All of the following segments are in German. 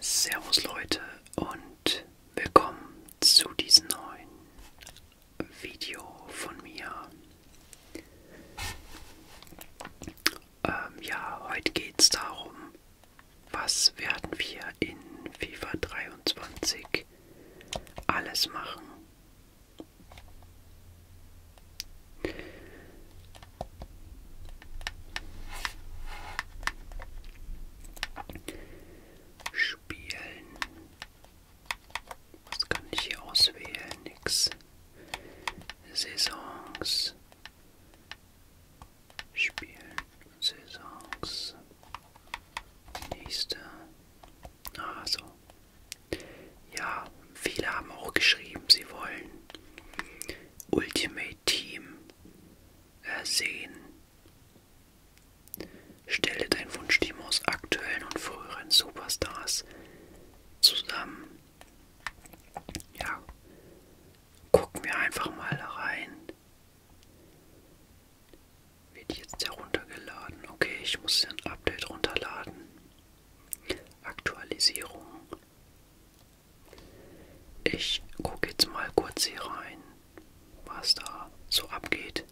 Servus Leute und willkommen zu diesem neuen Video von mir. Ähm, ja, heute geht es darum, was werden wir in FIFA 23 alles machen. Spielen. Was kann ich hier auswählen? Nix. Saisons. Spielen. Saisons. Nächste. Ah, so. Ja, viele haben auch geschrieben, sie wollen Ultimate Team ersehen. Äh, Stelle dein Wunschteam aus aktuellen und früheren Superstars zusammen. Ja, gucken wir einfach mal rein. Wird jetzt heruntergeladen. Okay, ich muss ein Update runterladen. Aktualisierung. Ich gucke jetzt mal kurz hier rein, was da so abgeht.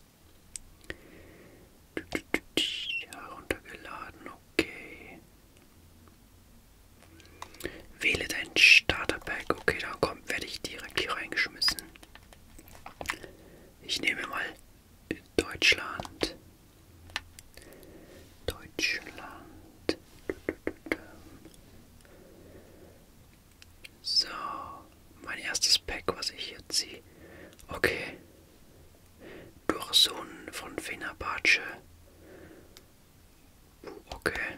Heruntergeladen, okay. Wähle dein Starterpack, okay, dann kommt, werde ich direkt hier reingeschmissen. Ich nehme mal Deutschland. Deutschland. So, mein erstes Pack, was ich hier ziehe. Okay. Dursun von Fenerbahce. Okay.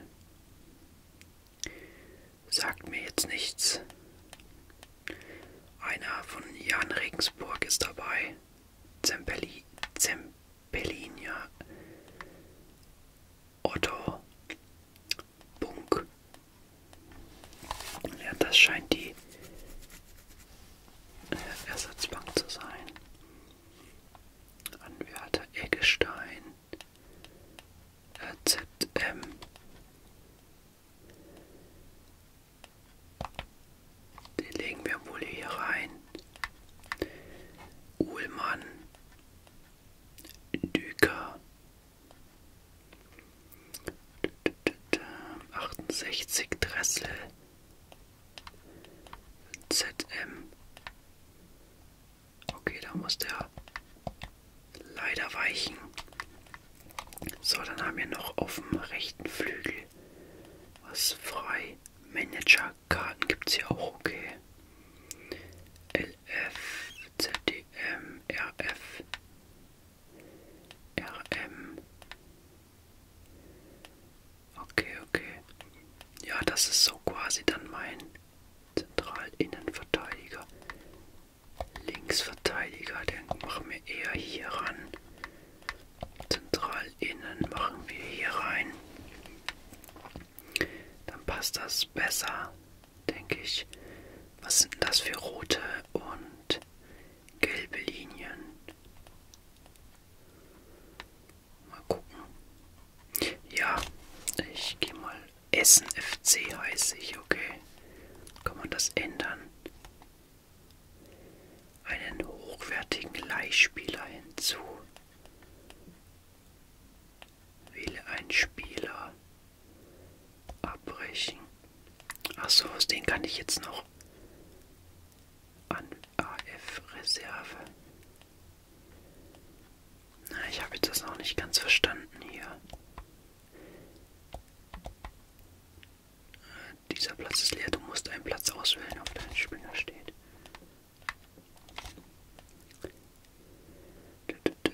Sagt mir jetzt nichts. Einer von Jan Regensburg ist dabei. Zempeli, Zempelinia, Otto, Bunk. Ja, das scheint die äh, Ersatzbank zu sein. Anwärter Eggestein, äh, ZM, den legen wir wohl hier rein. Uhlmann. Düker. 68 Dressel. ZM. Okay, da muss der leider weichen. So, dann haben wir noch auf dem rechten Flügel was frei. Managerkarten gibt es hier auch, okay. LF, ZDM, RF, RM. Okay, okay. Ja, das ist so quasi dann mein Zentralinnenverteidiger. Linksverteidiger, den machen wir eher hier ran. Zentral innen machen wir hier rein. Dann passt das besser, denke ich. Was sind das für rote und gelbe Linien? Mal gucken. Ja, ich gehe mal Essen FC heiße ich, okay. Kann man das ändern? Einen hochwertigen Leihspieler hinzu. Wähle einen Spieler. Abbrechen. Achso, aus den kann ich jetzt noch an AF-Reserve. Na, ich habe jetzt das noch nicht ganz verstanden hier. Dieser Platz ist leer, du musst einen Platz auswählen, auf dem ein Springer steht.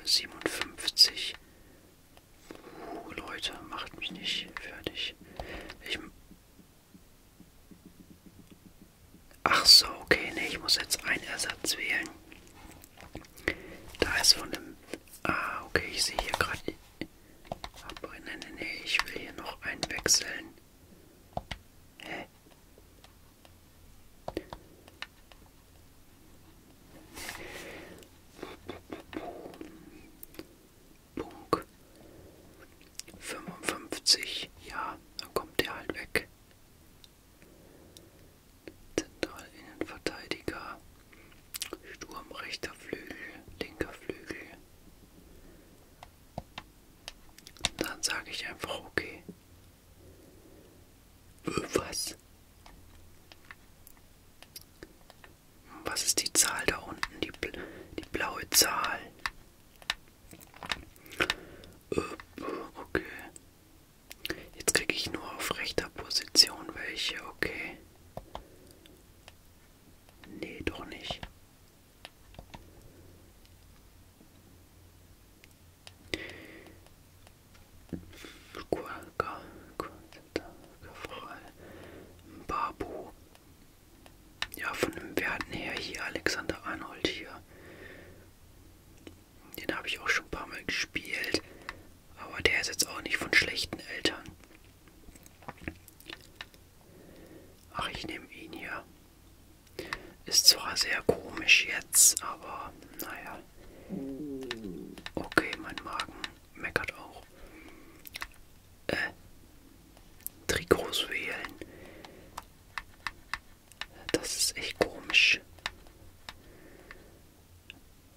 57. Uh, Leute, macht mich nicht fertig. Ich. Ach so, okay, nee, ich muss jetzt einen Ersatz wählen. Da ist von dem... Ah, okay, ich sehe hier gerade... Aber nee, nee, nee, ich will hier noch einen wechseln. Hä? Punkt 55, ja, dann kommt der halt weg. Zentralinnenverteidiger, Sturm rechter Flügel, linker Flügel. Dann sage ich einfach okay. Was? Was ist die Zahl da unten? Die, bl die blaue Zahl. Äh, okay. Jetzt kriege ich nur auf rechter Position welche, okay. Nee, doch nicht. Babu. Ja, von dem Werten her hier Alexander Arnold hier. Den habe ich auch schon ein paar Mal gespielt. Aber der ist jetzt auch nicht von schlechten Eltern. Ach, ich nehme ihn hier. Ist zwar sehr komisch jetzt, aber naja. Okay, mein Magen meckert auch. Äh. Trikots wählen. Das ist echt komisch.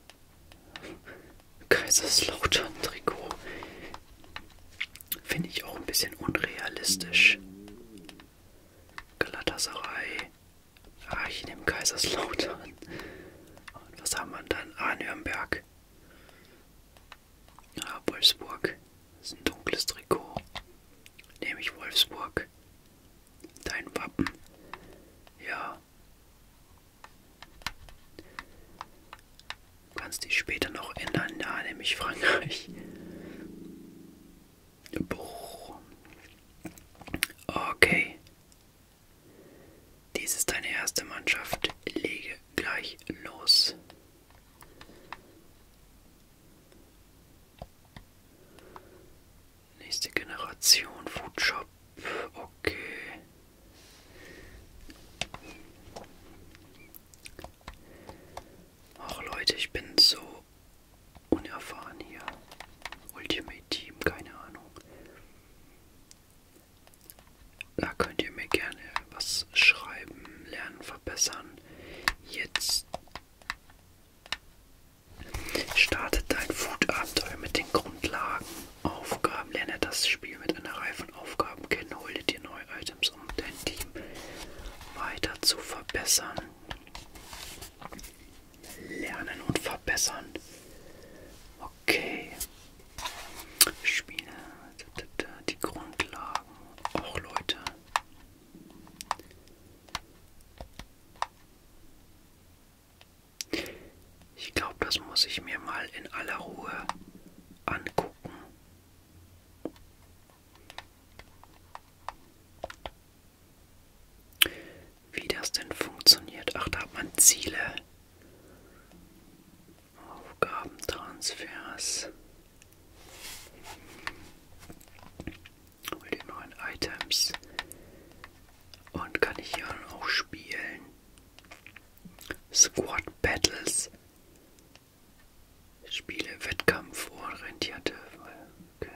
Kaiserslautern-Trikot finde ich auch ein bisschen unrealistisch. Galatasaray. Ah, ich nehme Kaiserslautern. Und was haben wir dann? Ah, Nürnberg. Ah, Wolfsburg. Das ist ein dunkles Trikot, nämlich Wolfsburg. Dein Wappen. Ja. Du kannst dich später noch ändern. Ja, nämlich Frankreich. Boah. Okay. Dies ist deine erste Mannschaft. Lege gleich los. Nächste Generation Foodshop. Okay. Ach Leute, ich bin so unerfahren hier. Ultimate Team, keine Ahnung. Da könnt ihr mir gerne was schreiben, lernen, verbessern. Jetzt startet dein Food-Abenteuer mit den Grundlagen. Aufgaben, lerne das Spiel mit einer Reihe von Aufgaben kennen, hol dir neue Items, um dein Team weiter zu verbessern. Lernen und verbessern. Okay. Spiele, die Grundlagen. Auch Leute. Ich glaube, das muss ich mir mal in aller Ruhe angucken. Wie das denn funktioniert. Ach, da hat man Ziele. Aufgabentransfers. Hol die neuen Items. Und kann ich hier auch spielen. Squad Battles. Spiele Wettkampf orientierte. Okay.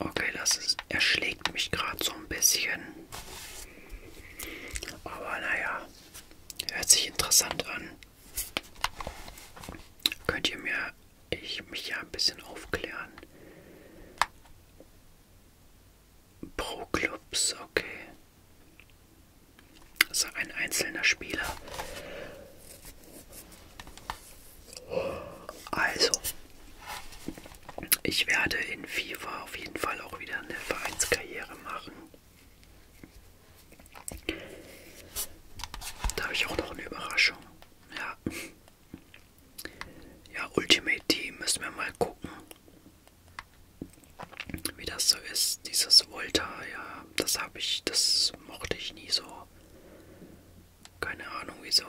Okay, das ist, erschlägt mich gerade so ein bisschen. Aber naja, hört sich interessant an. Könnt ihr mir, ich mich ja ein bisschen aufklären. Pro Clubs, okay. Also ein einzelner Spieler also, ich werde in FIFA auf jeden Fall auch wieder eine Vereinskarriere machen. Da habe ich auch noch eine Überraschung. Ja. Ja, Ultimate Team müssen wir mal gucken. Wie das so ist. Dieses Volta, ja, das habe ich, das mochte ich nie so. Keine Ahnung wieso.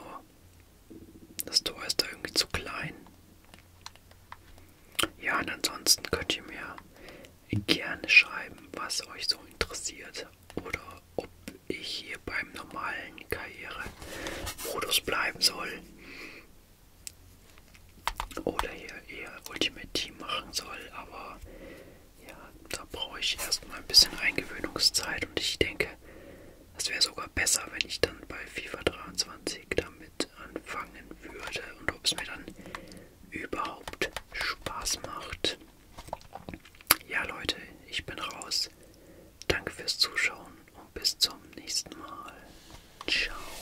Das Tor ist da irgendwie zu klein. Ja, und ansonsten könnt ihr mir gerne schreiben, was euch so interessiert. Oder ob ich hier beim normalen Karrieremodus bleiben soll. Oder hier eher Ultimate Team machen soll. Aber ja, da brauche ich erstmal ein bisschen Eingewöhnungszeit und ich denke, es wäre sogar besser, wenn ich dann bei FIFA 23 damit anfangen würde und ob es mir dann überhaupt Spaß macht. Ja, Leute, ich bin raus. Danke fürs Zuschauen und bis zum nächsten Mal. Ciao.